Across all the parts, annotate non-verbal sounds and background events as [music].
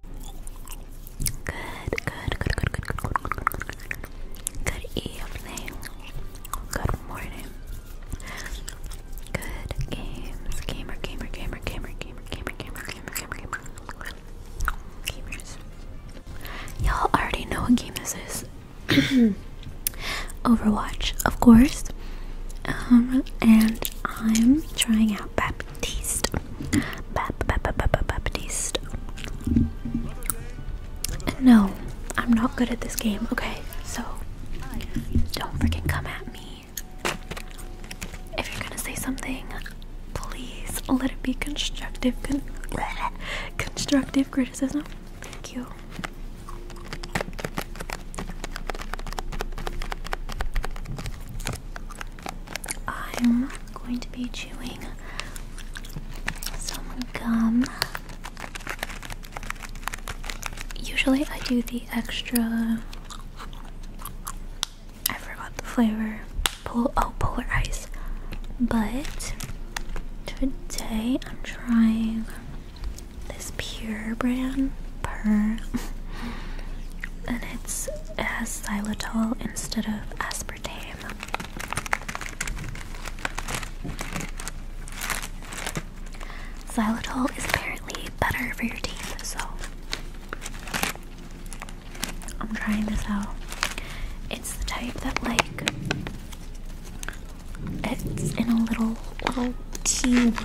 Good, good, good, good, good, good, good, good, good. Good evening. Good morning. Good games. Gamer, gamer, gamer, gamer, gamer, gamer, gamer, gamer, gamer, Gamers. Y'all already know what game this is. Overwatch, of course. Um, and I'm trying out Bad Baptiste. Bap, bap, No, I'm not good at this game. Okay, so don't freaking come at me. If you're gonna say something, please let it be constructive. [laughs] constructive criticism. Thank you. I'm going to be chewing some gum. Usually, I do the extra. I forgot the flavor. oh, polar ice. But today I'm trying this Pure brand purr. and it's, it has xylitol instead of aspartame. Xylitol is apparently better for your teeth, so I'm trying this out. It's the type that like it's in a little little tube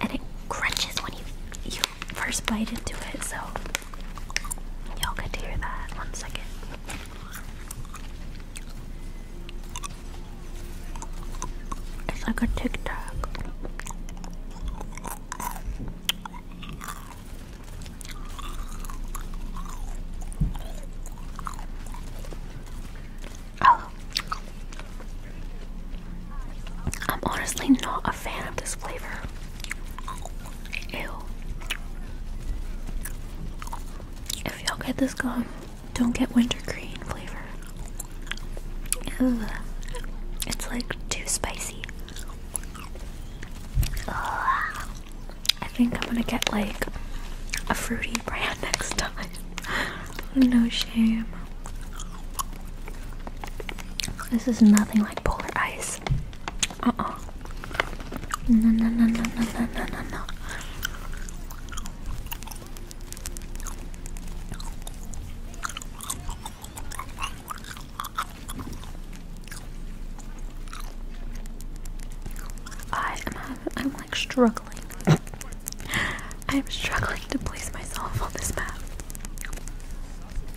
and it crunches when you you first bite into it. So y'all get to hear that. One second. It's like a Tic Tac. Oh. I'm honestly not a fan of this flavor. Ew. If y'all get this gum, don't get wintergreen flavor. It's like too spicy. I think I'm gonna get like a fruity brand [laughs] next time. Oh, no shame. This is nothing like polar ice. Uh uh. No, no, no, no, no, no, no, no, I am I'm like struggling [laughs] I'm struggling to place myself on this map.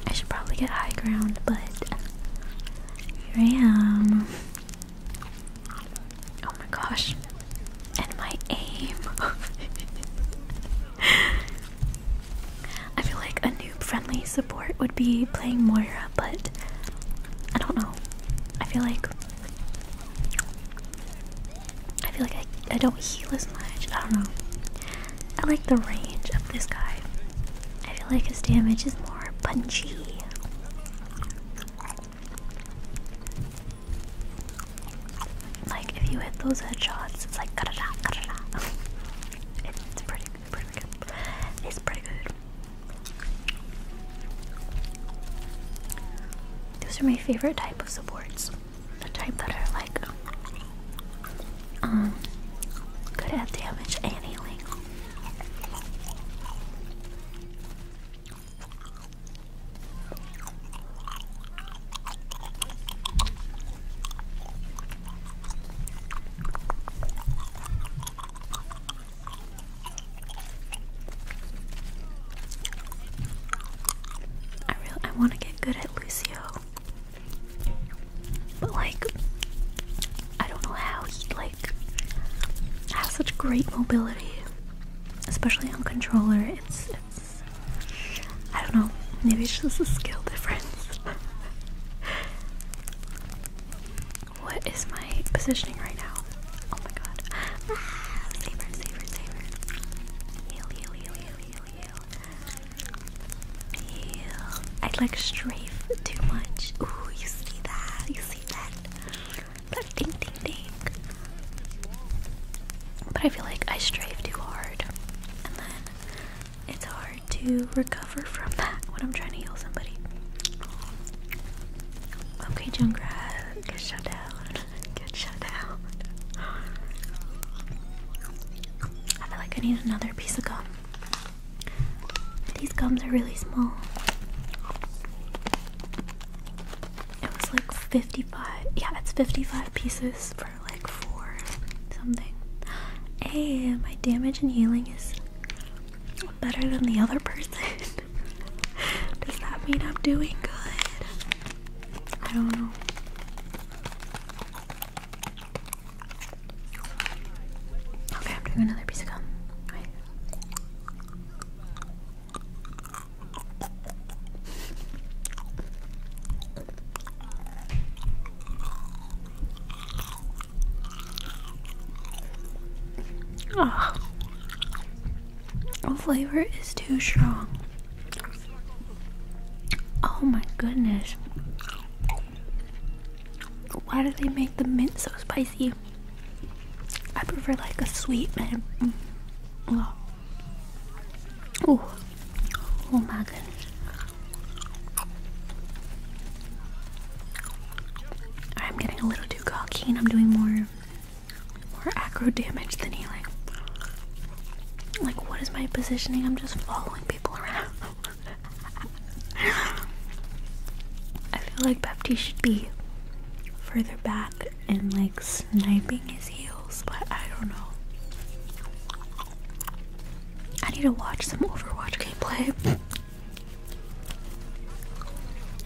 I should probably get high ground, but here I am. Oh my gosh. And my aim. [laughs] I feel like a noob friendly support would be playing Moira, but I don't know. I feel like I feel like I, I don't heal as much. I don't know. I like the range of this guy. I feel like his damage is more punchy. Like if you hit those headshots, it's like da da da It's pretty good. It's pretty good. Those are my favorite types of supports. The type that are like um good at damage and healing. I really I want to get good at Lucio, but like I don't know how he like has such great mobility, especially on controller. It's it's I don't know. Maybe it's just a skill difference. [laughs] what is my positioning right now? Oh my god. Ah, save her, Heal, heal, heal, heal, heal, heal. Heal. I like strafe too much. Ooh, you see that? You see that? But ding, ding, ding. But I feel like I strafe too hard. And then it's hard to recover from that when I'm trying to heal somebody. Okay, Junkrat. Good shutdown. Good down. I feel like I need another piece of gum. These gums are really small. It was like 55. Yeah, it's 55 pieces for like four something. Hey, my damage and healing is better than the other person. [laughs] Does that mean I'm doing good? I don't know. Okay, I'm doing another piece of gum. Oh. The flavor is too strong. Oh my goodness. Why do they make the mint so spicy? I prefer like a sweet mint. Oh. oh. Oh my goodness. I'm getting a little too cocky and I'm doing more more aggro damage than healing. Like what is my positioning? I'm just following people around. [laughs] I feel like Bepti should be further back and like sniping his heels, but I don't know. I need to watch some Overwatch gameplay. [laughs]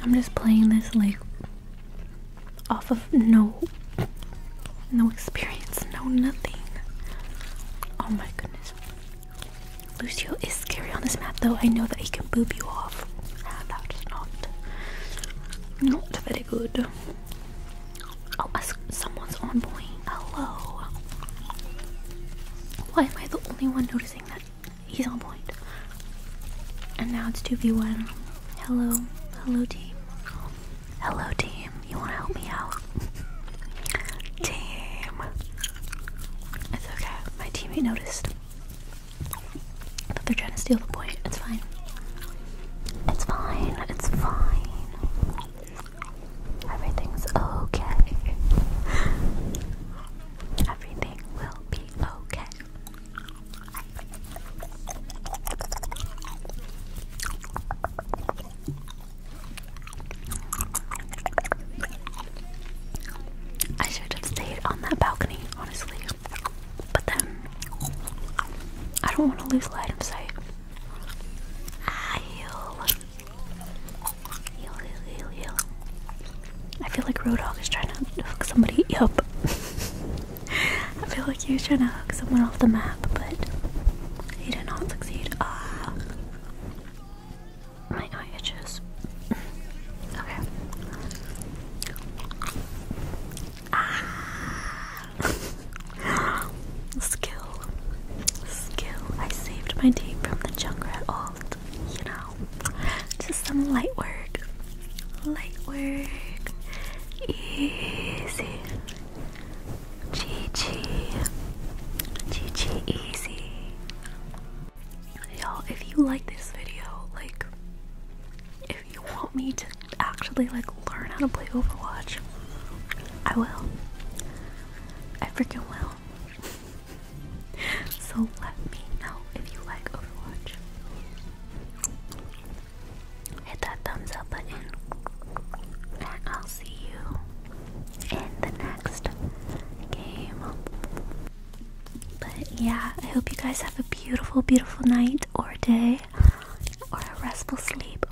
I'm just playing this like off of no no experience, no nothing. Oh my goodness. Lucio is scary on this map though. I know that he can boob you off. That's not not very good. Oh, someone's on point. Hello. Why am I the only one noticing that? He's on And now it's 2v1. Hello. Hello, team. Hello, team. You want to help me out? [laughs] team. It's okay. My teammate noticed. that they're trying to steal the point. It's fine. It's fine. It's fine. Everything's okay. [laughs] Everything will be okay. I should have stayed on that balcony, honestly. But then, I don't want to lose light of sight. I heal. I feel like Roadhog is trying to hook somebody [laughs] up. I feel like he was trying to hook someone off the map, but he did not succeed. Ah. My eye itches. okay. Ah. [laughs] Skill. Skill. I saved my team from the Junkrat. Oh involved, you know. Just some light work. Light work. Easy. GG. GG easy. Y'all, if you like this video, like if you want me to actually like learn how to play Overwatch, I will. I freaking will so let me know if you like Overwatch. Hit that thumbs up button, I'll see you in the next game. But yeah, I hope you guys have a beautiful, beautiful night or day or a restful sleep.